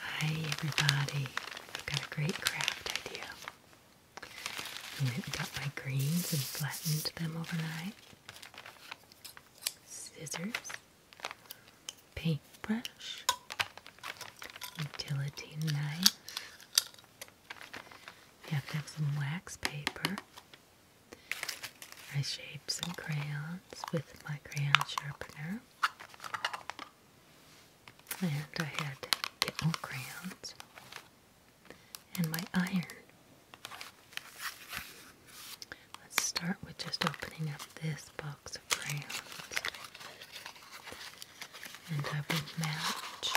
Hi, everybody. I've got a great craft idea. I went and got my greens and flattened them overnight. Scissors, paintbrush, utility knife. You have to have some wax paper I shape some crayons with my crayon sharpener. And I had dental crayons and my iron. Let's start with just opening up this box of crayons. And I would match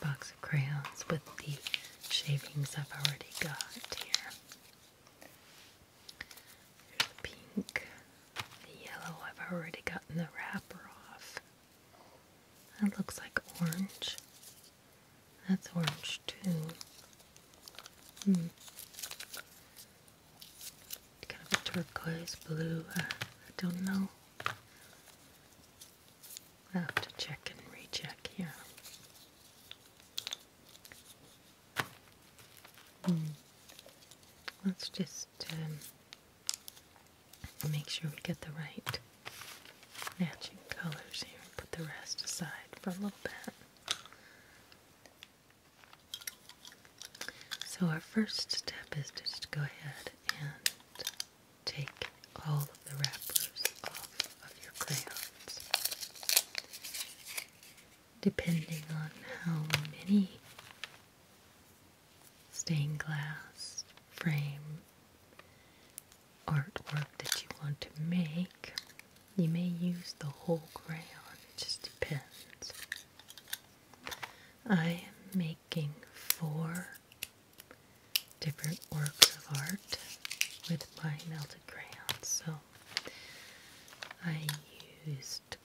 the box crayons with the shavings I've already got here. pink, yellow, I've already gotten the wrapper off. That looks like orange. That's orange too. Hmm. Kind of a turquoise blue. I don't know i have to check and recheck here. Hmm. Let's just um, make sure we get the right matching colors here and put the rest aside for a little bit. So, our first step is to just go ahead and take all of the wrappers off of your crayons. Depending on how many stained glass frame artwork that you want to make, you may use the whole crayon. It just depends. I am making making four different works of art with my melted crayons. So I used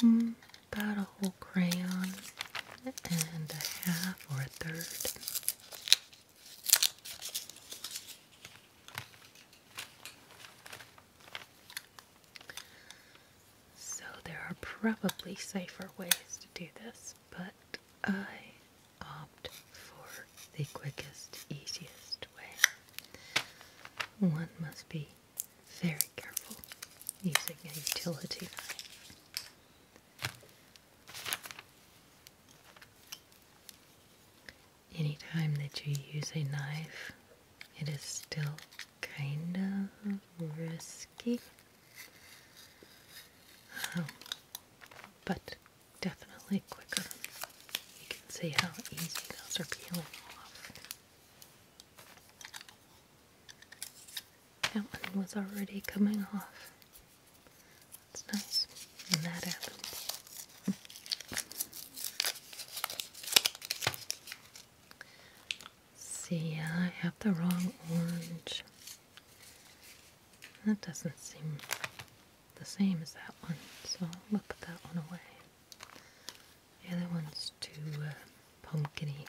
hmm, about a whole crayon and a half or a third. So, there are probably safer ways to do this but I opt for the quickest, easiest way. One must be very careful using a utility knife. Anytime that you use a knife, it is still kind of risky risky. Um, but definitely quicker. You can see how easy those are peeling off. That one was already coming off. It's nice when that happened. See, I have the wrong orange. That doesn't seem the same as that one, so I'll put that one away. The other one's too uh, pumpkiny.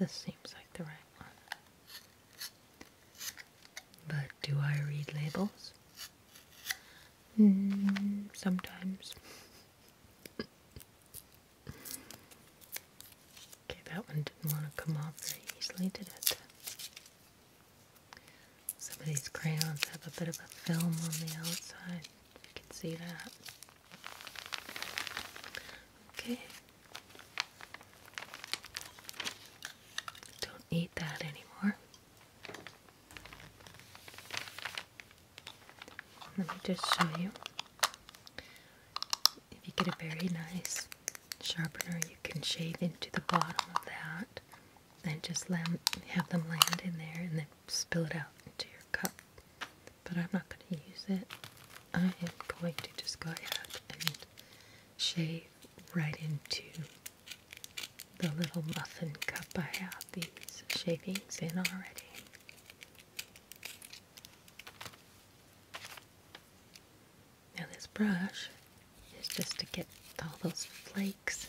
This seems like the right one. But do I read labels? Hmm, sometimes. Okay, that one didn't want to come off very easily, did it? Some of these crayons have a bit of a film on the outside. You can see that. Okay. Don't need that anymore. Let me just show you. If you get a very nice sharpener, you can shave into the bottom of that and just have them land in there and then spill it out into your cup. But I'm not going to use it. I am going to just go ahead and shave right into the little muffin cup. I have these shavings in already. Now, this brush is just to get all those flakes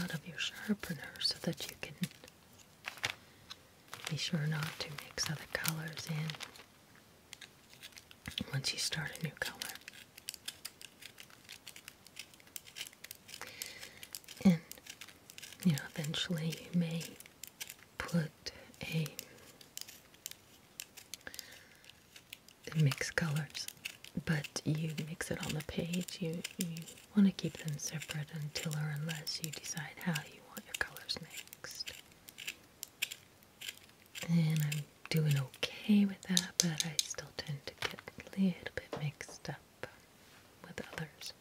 out of your sharpener so that you can be sure not to mix other colors in once you start a new color. And you know, eventually you may put a mix colors, but you mix it on the page. You, you want to keep them separate until or unless you decide how you want your colors mixed. And I'm doing okay with that, but I still tend to get a little bit mixed up with others.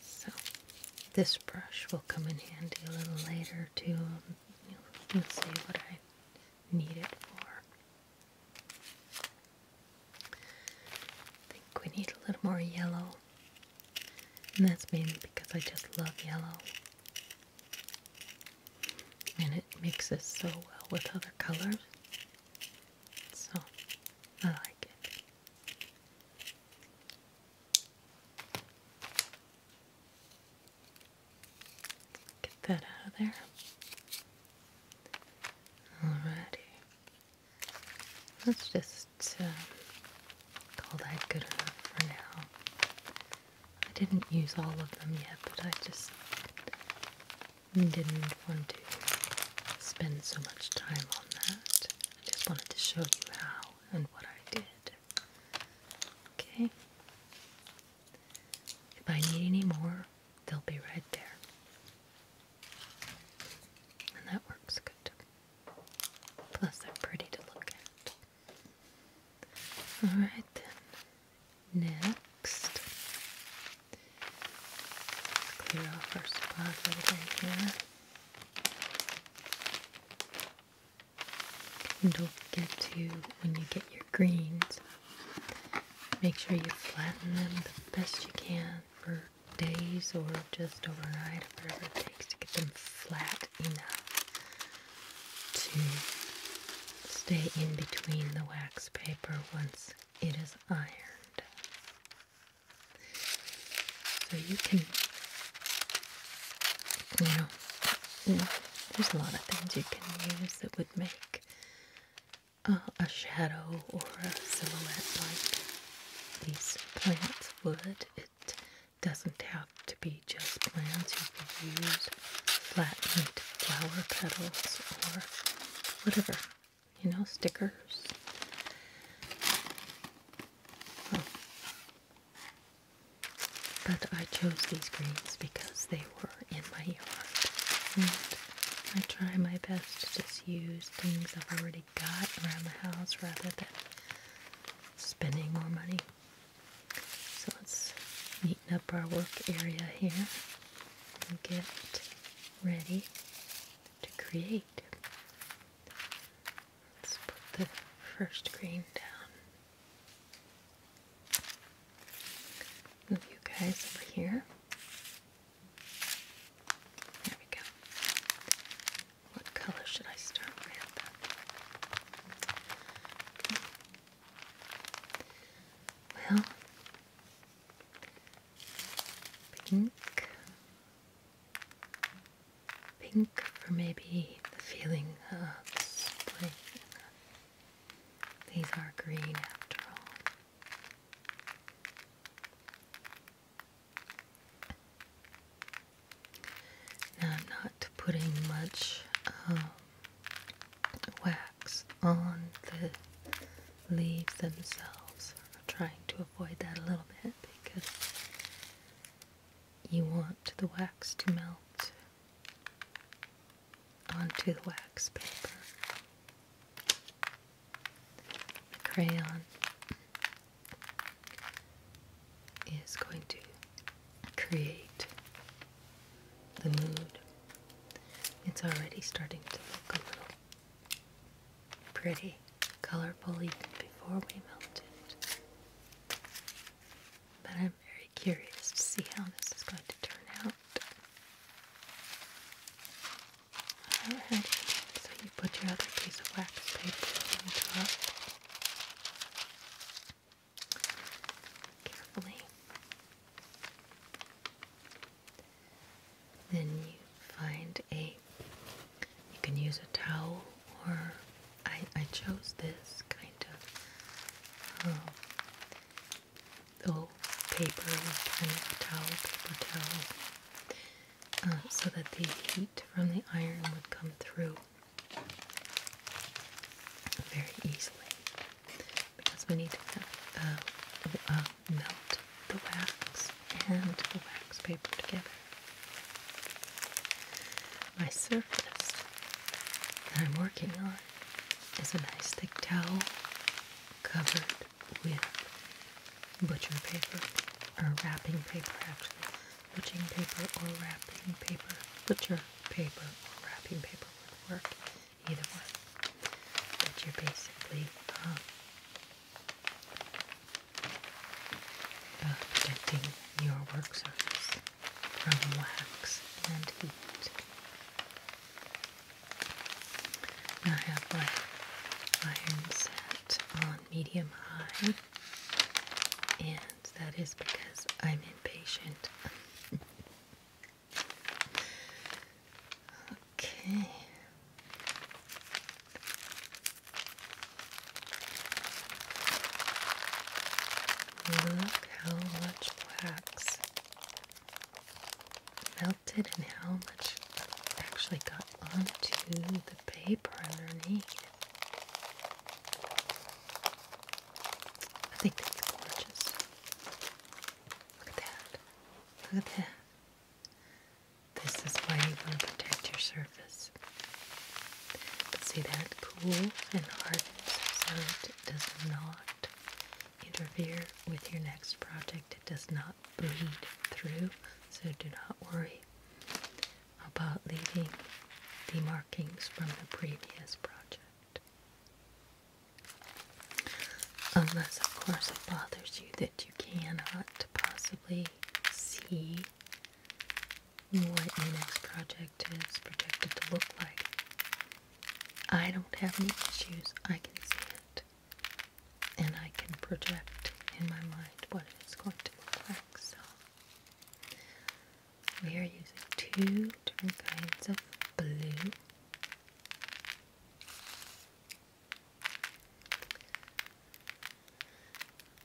So, this brush will come in handy a little later too. you know, see what I need it for. I think we need a little more yellow, and that's mainly because I just love yellow and it mixes so well with other colors. So I like it. Get that out of there. Alrighty. Let's just um, call that good enough for now. I didn't use all of them yet, but I just didn't want to spend so much time on that. I just wanted to show you how and what I did. Okay? If I need any more, they'll be right there. And that works good. Plus, they're pretty to look at. Alright then next. Clear off our spot a little bit here. And don't forget to, when you get your greens, make sure you flatten them the best you can for days or just overnight, whatever it takes to get them flat enough to stay in between the wax paper once it is ironed. So you can, you know, there's a lot of things you can use that would make a shadow or a silhouette like these plants would. It doesn't have to be just plants. You can use flattened flower petals or whatever, you know, stickers. But I chose these greens because they were in my yard. And I try my best to just use things I've already got around the house rather than spending more money. So let's up our work area here and get ready to create. Let's put the first green down. Move you guys over here. There we go. What color should I start with? Well, pink, pink for maybe the feeling of These are green after all. Now, not putting much wax on the leaves themselves. trying to avoid that a little bit because you want the wax to melt onto the wax paper. The crayon is going to create the mood. It's already starting to look a little pretty, colorful even before we melt it. But I'm very curious to see how this is going to turn out. Alright, so you put your other piece of wax paper on top carefully. Then you find a, you can use a towel or I, I chose this kind of um, oh, paper, kind of towel, paper towel, uh, so that the heat from the iron would come through very easily because we need to have, uh, uh, melt the wax and the wax paper together. My surface that I'm working on is a nice thick towel covered with butcher paper or wrapping paper actually. Butching paper or wrapping paper. Butcher paper or wrapping paper would work either one. But you're basically um, uh, protecting your work surface from wax and heat. Now I have my iron set on medium high, and that is because I'm impatient. Okay. Look how much wax melted and how much actually got onto the paper underneath. I think that's gorgeous. Look at that. Look at that. This is why you want to protect your surface. see that cool and hard so it does not interfere with your next project. It does not bleed through, so do not worry about leaving the markings from the previous project. Unless, of course, it bothers you that you cannot possibly see what your next project is projected to look like. I don't have any issues. I can see it. And I can project in my mind what it's going to look like. So, we are using two different kinds of blue.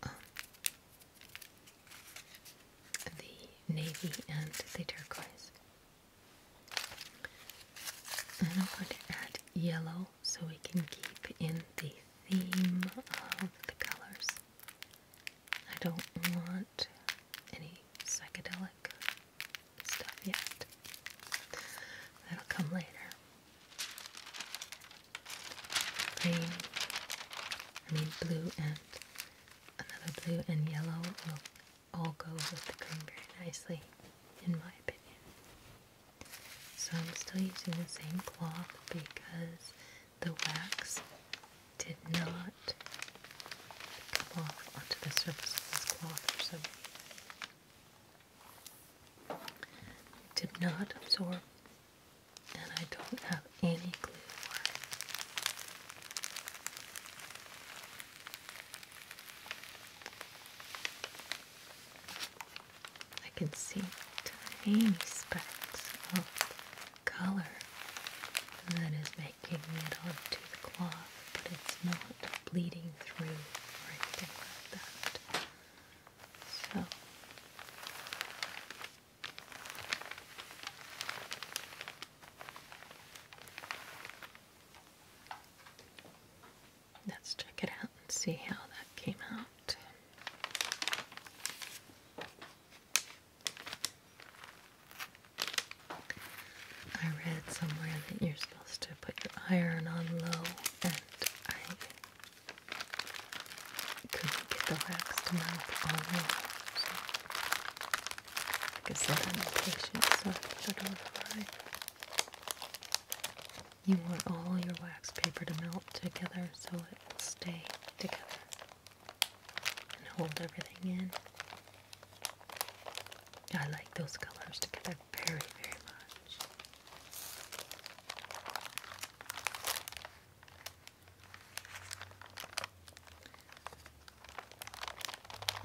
Um, the navy and the turquoise. And I'm going to add yellow so we can keep in the theme of the colors. I don't want any psychedelic stuff yet. That'll come later. Green, I mean blue and another blue and yellow will all go with the green very nicely, in my opinion. So I'm still using the same cloth because the wax did not come off onto the surface of this cloth or some did not absorb, and I don't have any clue why. I can see tiny specks of color that is making it onto the cloth, but it's not bleeding through or anything like that. So Let's check it out and see how that came out. I read somewhere that you're supposed to put your iron on low, and I couldn't get the wax to melt on low. So I guess that impatient, so I don't know You want all your wax paper to melt together so it will stay together and hold everything in. I like those colors together very, very much.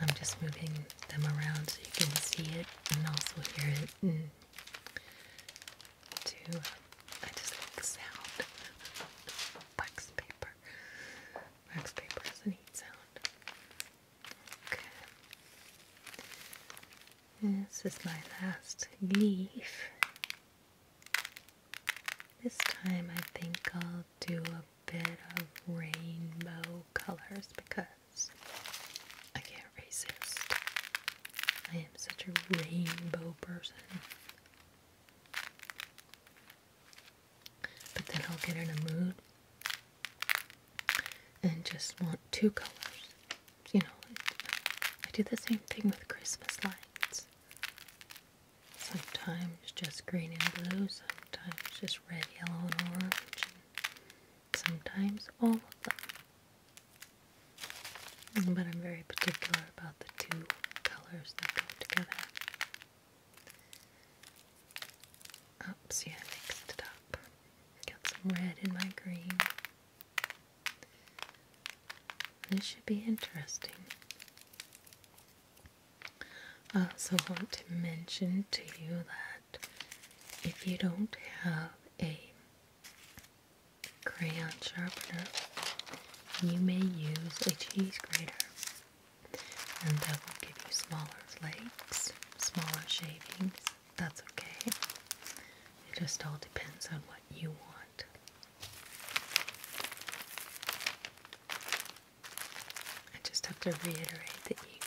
I'm just moving them around so you can see it and also hear it. And mm. too, uh, I just like the sound of wax paper. Wax paper has a neat sound. Okay. This is my last leaf. This time I think I'll do a bit of rainbow colors because I can't resist. I am such a rainbow person but then I'll get in a mood and just want two colors. You know, I do the same thing with Christmas lights. Sometimes just green and blue, sometimes just red, yellow, and orange, sometimes all of them. But I'm very particular about the two colors that go together. Oops, yeah, I mixed it up. Got some red in my green. This should be interesting. I also want to mention to you that if you don't have a crayon sharpener, you may use a cheese grater and that will give you smaller flakes, smaller shavings. That's okay. It just all depends on what you want. I just have to reiterate that you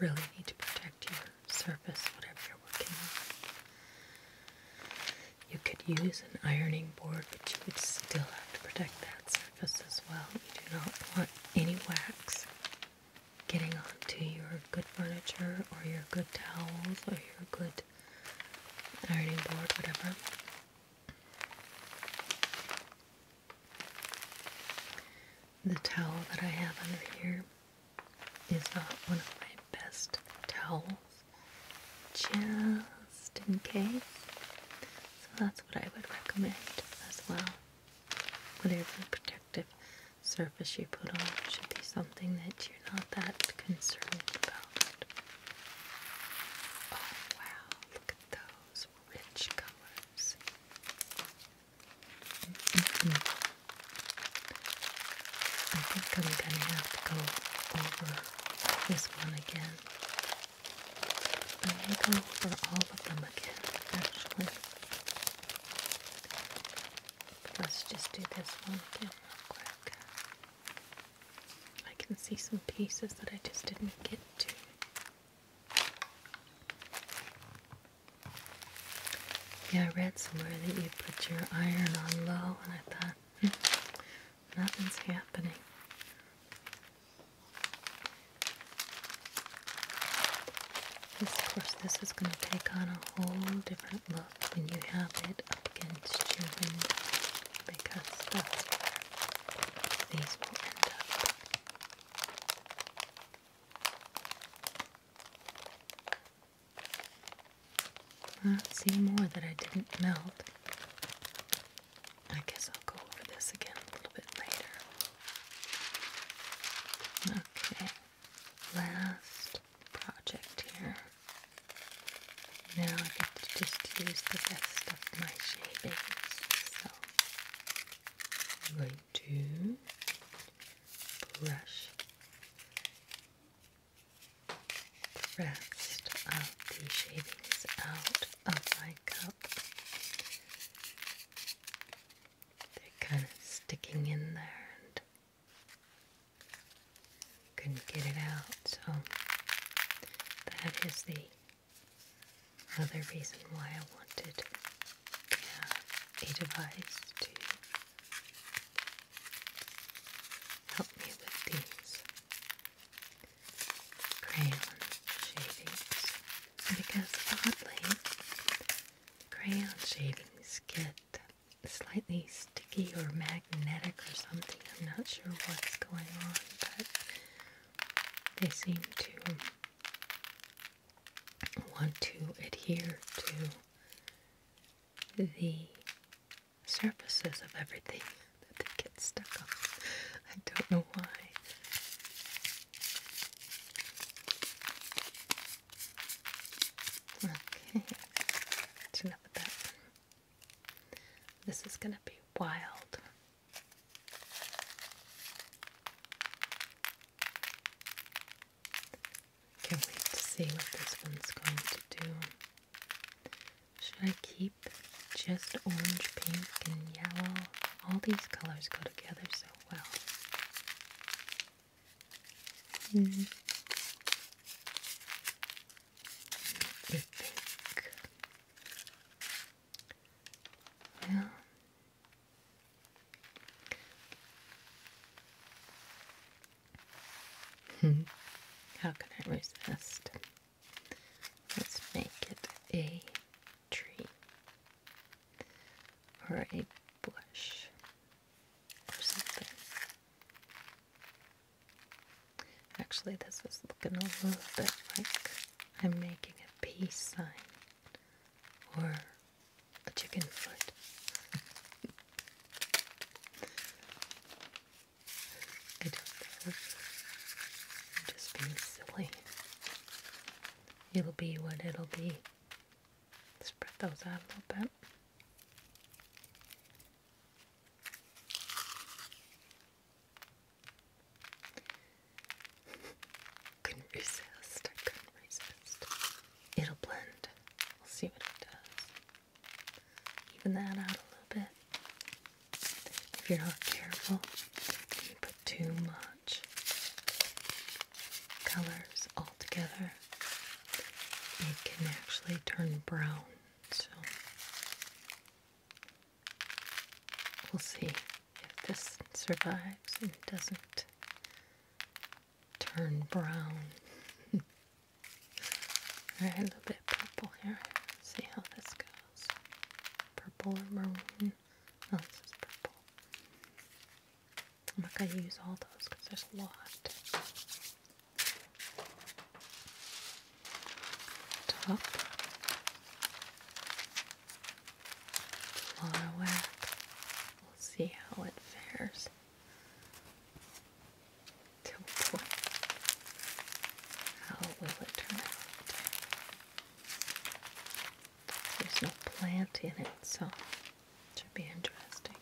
really need to protect your surface, whatever you're working on. You could use an ironing board, but you would still have to protect that surface as well. You do not want any wax getting onto your good furniture or your good towels or your good ironing board, whatever. The towel that I have under here is not one of my best towels just in case. So that's what I would recommend as well. Whatever protective surface you put on should be something that you're not that concerned about. Oh, wow, look at those rich colors. I think I'm gonna have to go over this one again i go over all of them again, actually. Let's just do this one again real quick. I can see some pieces that I just didn't get to. Yeah, I read somewhere that you put your iron on low, and I thought, hmm, Nothing's happening. This, of course, this is going to take on a whole different look when you have it up against your window because that's these see more that I didn't melt. I guess I'll go over this again a little bit later. Okay, last project here. Now I get to just use the rest of my shavings. So I'm going to brush the rest of the shavings out of my cup. They're kind of sticking in there and couldn't get it out, so that is the other reason why I wanted a device to help me with these crayon shavings because oddly, crayon shavings get slightly sticky or magnetic or something. I'm not sure what's going on, but they seem to want to adhere to the surfaces of everything that they get stuck on. I don't know why. Okay, that's enough of that This is going to be wild. Can't wait to see what this one's going to do. Should I keep just orange, pink, and yellow? All these colors go together so well. Mm. I think. Well, how can I resist? Let's make it a tree or a bush or something. Actually, this is looking a little bit like I'm making a peace sign or a chicken foot. I do just being silly. It'll be what it'll be. Spread those out a little bit. couldn't resist. I couldn't resist. It'll blend. We'll see what it does. Even that out a little bit. If you're not careful, if you put too much colors all together, it can actually turn brown. So we'll see if this survives and doesn't turn brown. Alright, a little bit purple here. see how this goes. Purple or maroon? Oh, this is purple. I'm not going to use all those because there's a lot. Top. Flower whack. We'll see how it fares. Good How will it turn out? There's no plant in it, so it should be interesting.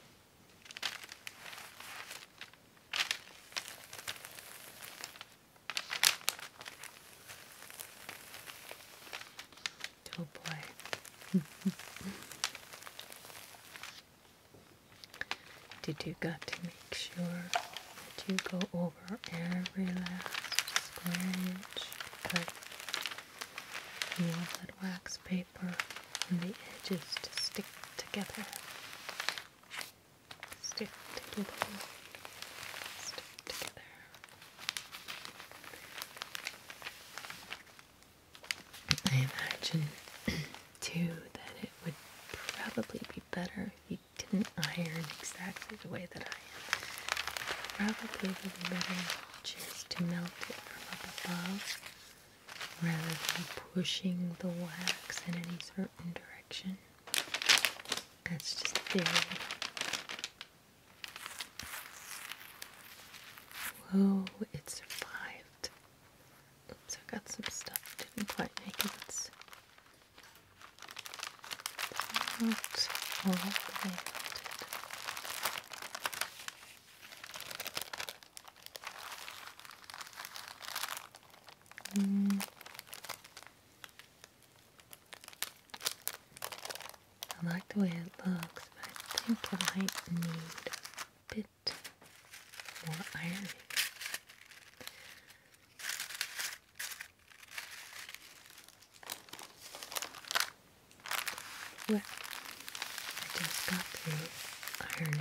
Oh Did you got to make sure that you go over every last square inch cut? You that wax paper and the edges to stick together. Stick together. Stick together. I imagine too that it would probably be better if you didn't iron exactly the way that I am. Probably would be better just to melt it from up above rather than pushing the wax in any certain direction. That's just there. Whoa, it survived. Oops, I got some stuff. Didn't quite make it. Hmm. I like the way it looks, but I think I might need a bit more I just got to ironing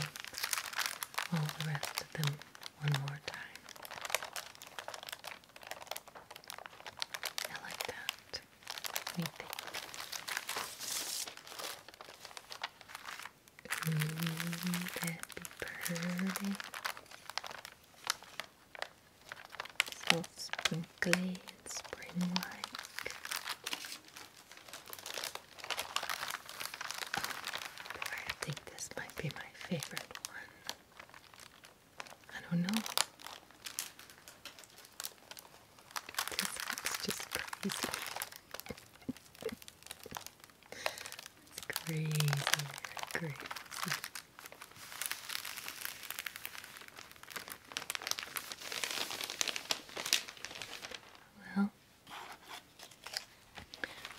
all the rest of them one more time. I like that. Me think that'd be pretty. So sprinkly and spring-like. boy, I think this might be my favorite one. I don't know. This looks just crazy. It's crazy, crazy. Well,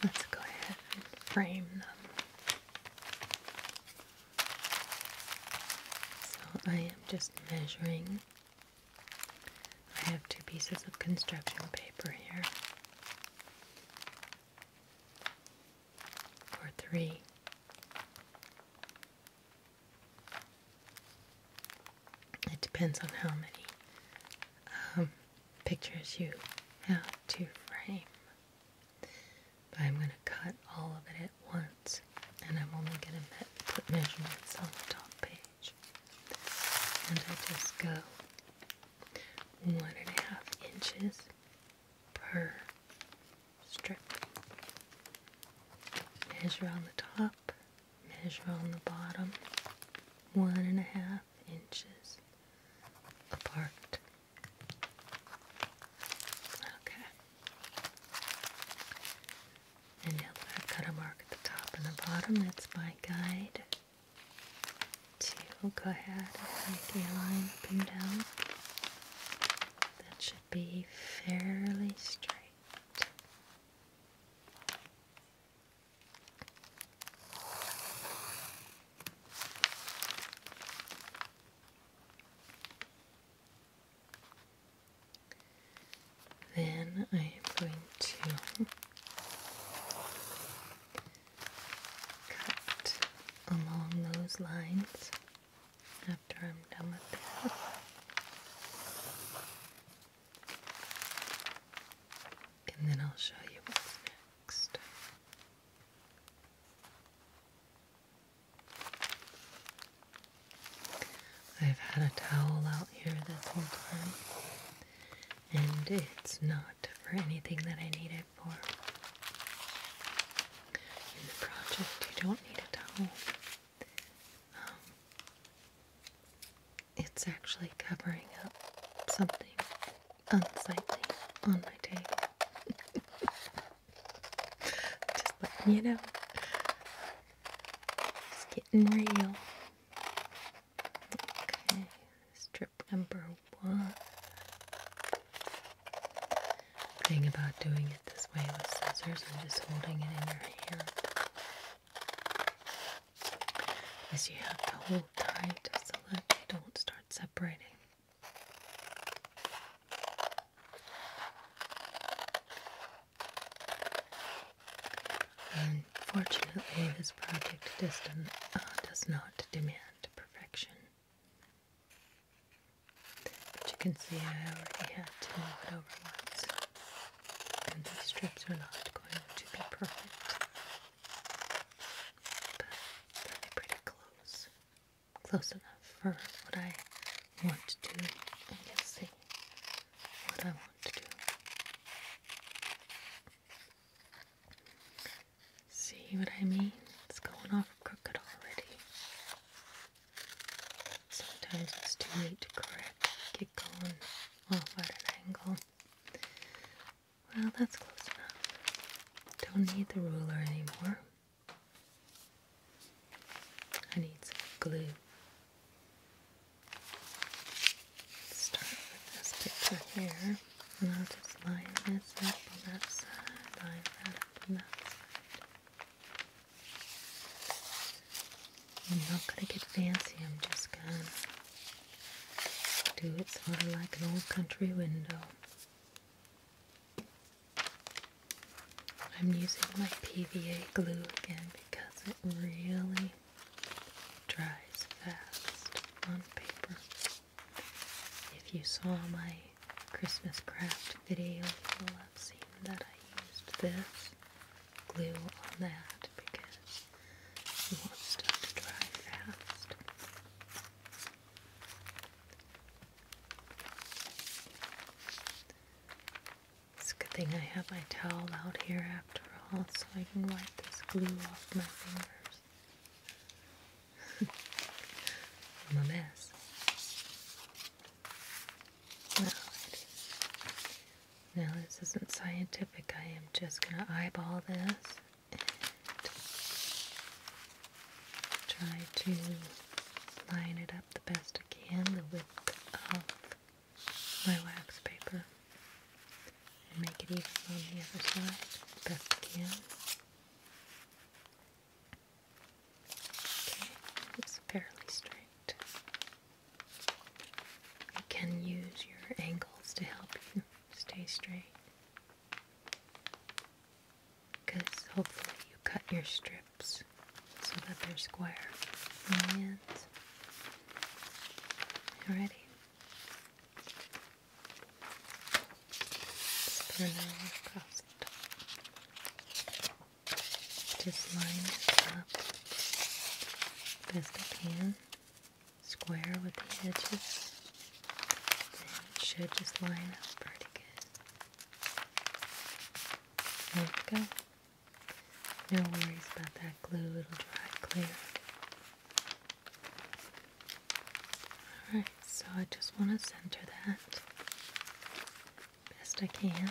let's go ahead and frame them. So I am just measuring I have two pieces of construction paper here, or three. It depends on how many um, pictures you have to frame. I'm going to cut all of it at once, and I'm only going to put measurements on the top page. And I just go one and a half inches per strip. Measure on the top, measure on the bottom, one and a half inches apart. Okay. And now I've got a mark at the top and the bottom, that's my guide to go ahead and make a line up and down that should be fairly straight. Then I am going to cut along those lines after I'm done with that. And then I'll show you what's next. I've had a towel out here this whole time and it's not for anything that I need it for. In the project, you don't need a towel. Um, it's actually covering up something unsightly on my table. Just letting you know. It's getting real. Okay, strip number one. thing about doing it this way with scissors and just holding it in your hand is you have to hold tight so that you don't start separating. Unfortunately, this project does, uh, does not demand perfection. But you can see I already have to move it over once, and these strips are not going to be perfect, but they're pretty close, close enough for what I want to do, see what I want to do. See what I mean? It's going off crooked already. Sometimes it's too late to correct. Get going off at an angle. Well, that's close enough. Don't need the ruler anymore. I need some glue. Start with this picture here, and I'll just line this up on that side, line that up on that side. I'm not gonna get fancy, I'm just gonna do it sort of like an old country window. I'm using my PVA glue again because it really dries fast on paper. If you saw my Christmas craft video, you will have seen that I used this glue on that because you want stuff to dry fast. It's a good thing I have my towel out here after all, so I can wipe this glue off my fingers. I'm a mess. Now, this isn't scientific. I am just going to eyeball this try to line it up the best I can, the width of my wax paper and make it even on the other side best I can. Okay, it's fairly straight. You can use your angles to help you stay straight. Because hopefully you cut your strips so that they're square on Alrighty. Let's Just line up best I can. Square with the edges. And it should just line up pretty good. There we go. No worries about that glue, it'll dry clear. Alright, so I just want to center that best I can.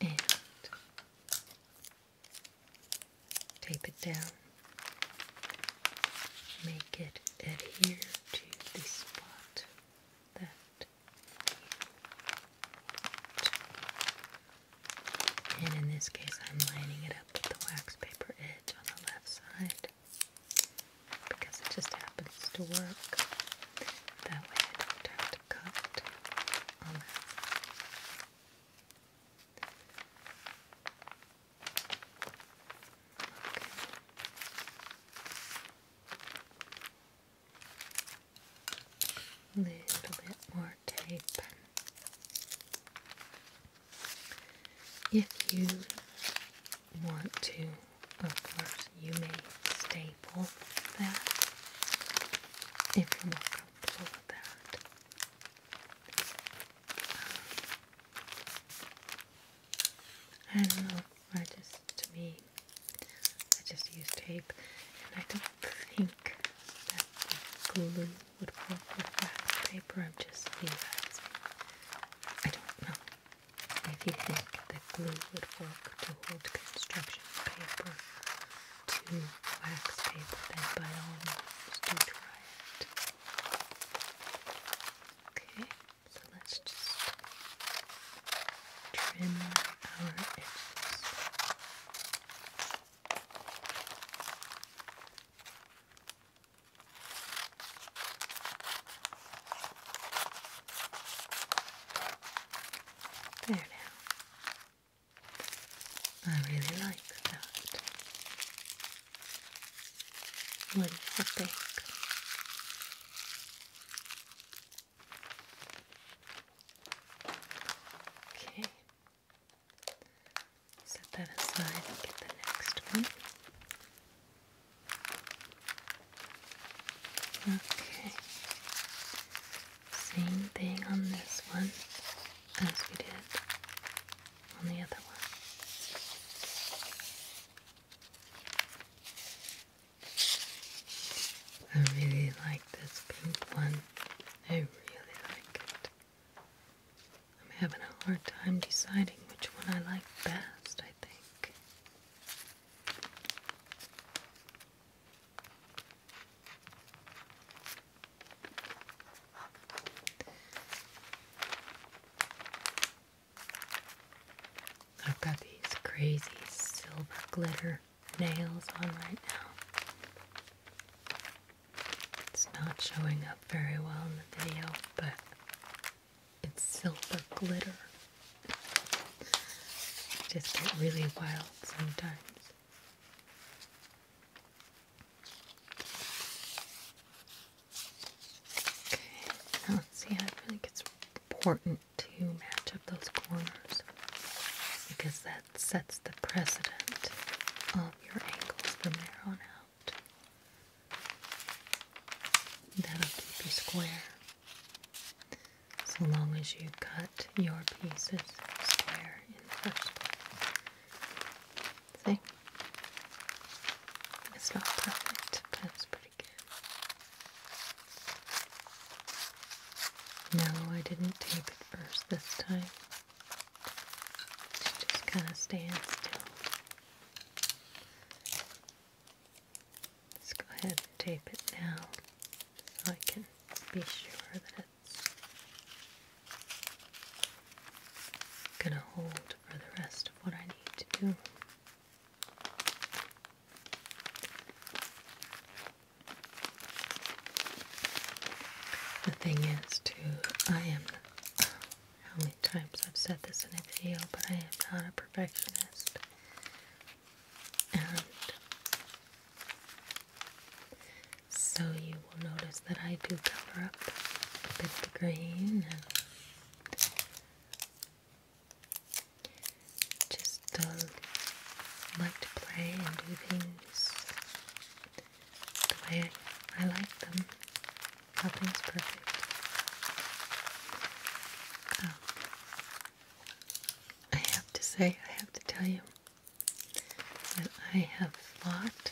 And tape it down. Make it adhere to the spot that and in this case, I'm lining it up with the wax paper edge on the left side because it just happens to work. That way, I don't have to cut a little bit more tape. If you want to, of course, you may staple that if you're more comfortable with that. Um, I don't know. I just to me. I just use tape, and I don't think that glue would work with wax paper. I'm just realizing. I don't know if you think that glue would work to hold construction paper to wax paper, then by all means do try it. Okay, so let's just trim. There now. I really like that. What do you think? Okay. Set that aside and get the next one. Okay. Same thing on this one as we did on the other one. I really like this pink one. I really like it. I'm having a hard time deciding which one I like best, I think. I've got these crazy silver glitter nails on right now. It's not showing up very well in the video, but it's silver glitter. just get really wild sometimes. Okay, now let's see how it really gets important to match up those corners because that sets the precedent of your angles from there on out. That'll keep you square. So long as you cut your pieces square in the first place. See? It's not perfect, but it's pretty. No, I didn't tape it first this time. just kind of stand still. Let's go ahead and tape it now so I can be sure that it's going to hold for the rest of what I need to do. The thing is, too, I am. how many times I've said this in a video, but I am not a perfectionist. And so you will notice that I do cover up a bit of the green just like to play and do things the way I like them. Nothing's perfect. Um, I have to say, I have to tell you that I have fought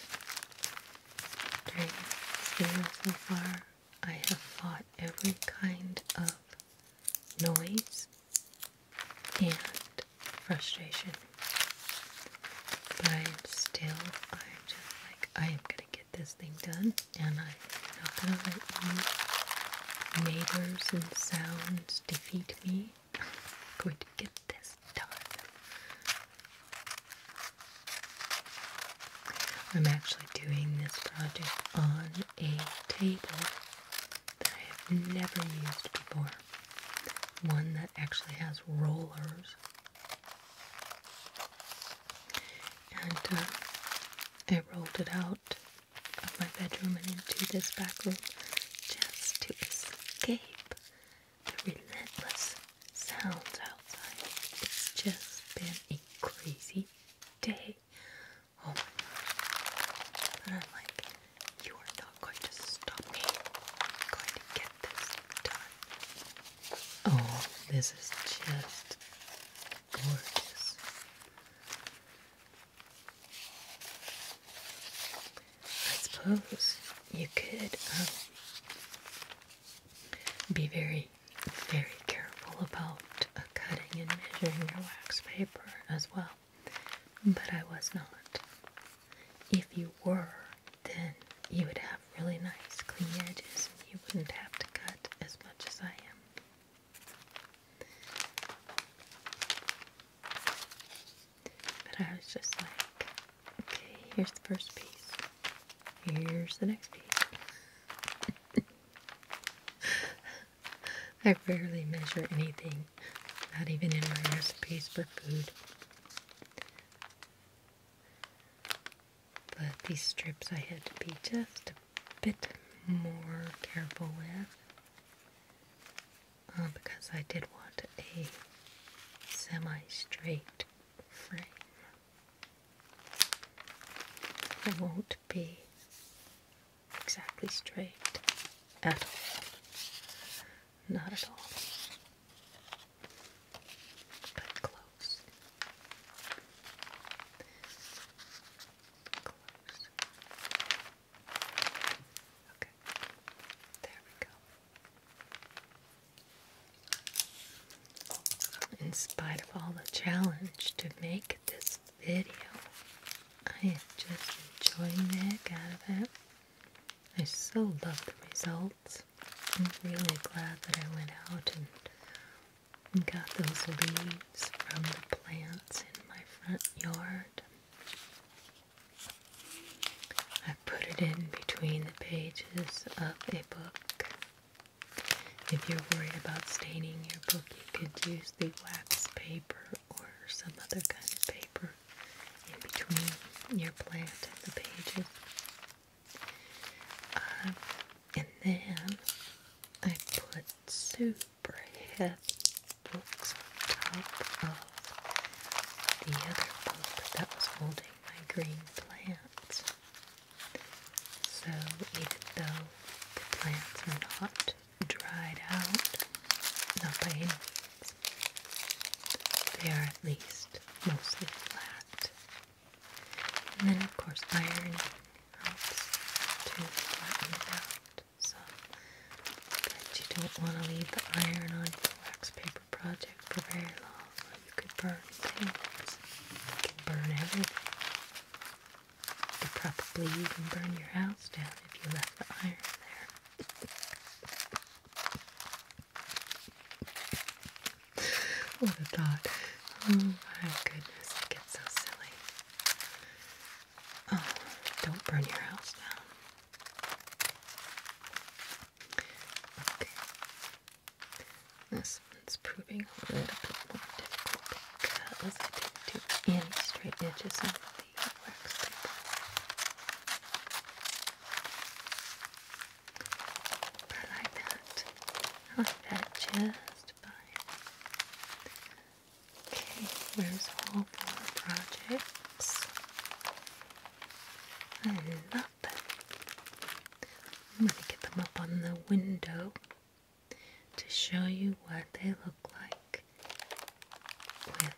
during this video so far. I have fought every kind of noise and frustration. But I am still, I'm just like, I am gonna get this thing done, and I'm not gonna let neighbors and sounds defeat me. I'm going to get this done. I'm actually doing this project on a table that I have never used before. One that actually has rollers. And uh, I rolled it out of my bedroom and into this back room just to escape the relentless sounds outside. It's just been a crazy day. Oh my gosh. But I'm like, you are not going to stop me. going to get this done. Oh, this is just gorgeous. I suppose you could um, be very, very careful about cutting and measuring your wax paper as well, but I was not. If you were, then you would have really nice clean edges and you wouldn't have to cut as much as I am. But I was just like, okay, here's the first piece, here's the next piece. I rarely measure anything, not even in my recipes for food. But these strips I had to be just a bit more careful with uh, because I did want a semi straight frame. I won't be exactly straight at all. Not at all. But close. Close. Okay. There we go. In spite of all the challenge to make this video. I am just enjoying the heck out of it. I so love the results. I'm really glad that I went out and got those leaves from the plants in my front yard. I put it in between the pages of a book if you're worried about staining your book, you could use the wax paper or some other kind of paper in between your plant and the pages. Uh, and then I put super heavy books on top of the other book that was holding my green plant, So even though the plants are not dried out, not by any means. They are at least mostly flat. And then, of course, iron helps to flatten it out some. But you don't want to leave the iron on the wax paper project for very long, or you could burn things. You could burn everything. Could probably even burn your house down if you left the iron there. what a thought. Oh my goodness, it gets so silly. Oh, don't burn your house down. Okay. This it's proving a little bit more difficult because I didn't do any straight edges on the wax paper. But like that. like that just fine. Okay, where's all four projects? I love I'm going to get them up on the window to show you what they look like with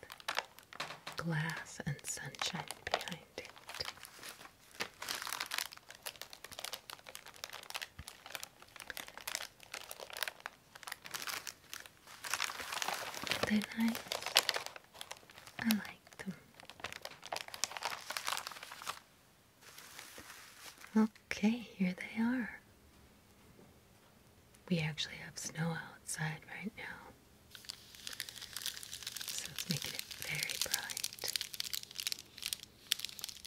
glass and sunshine behind it. They're nice. I like them. Okay, here they are. We actually have snow outside right now, so it's making it very bright.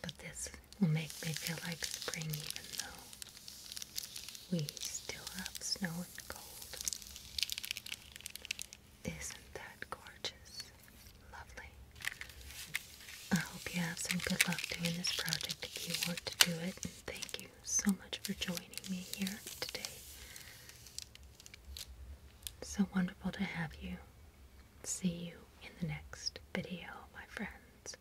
But this will make me feel like spring, even though we still have snow and cold. Isn't that gorgeous? Lovely. I hope you have some good luck doing this project if you want to do it. And thank you so much for joining me here today. So wonderful to have you. See you in the next video, my friends.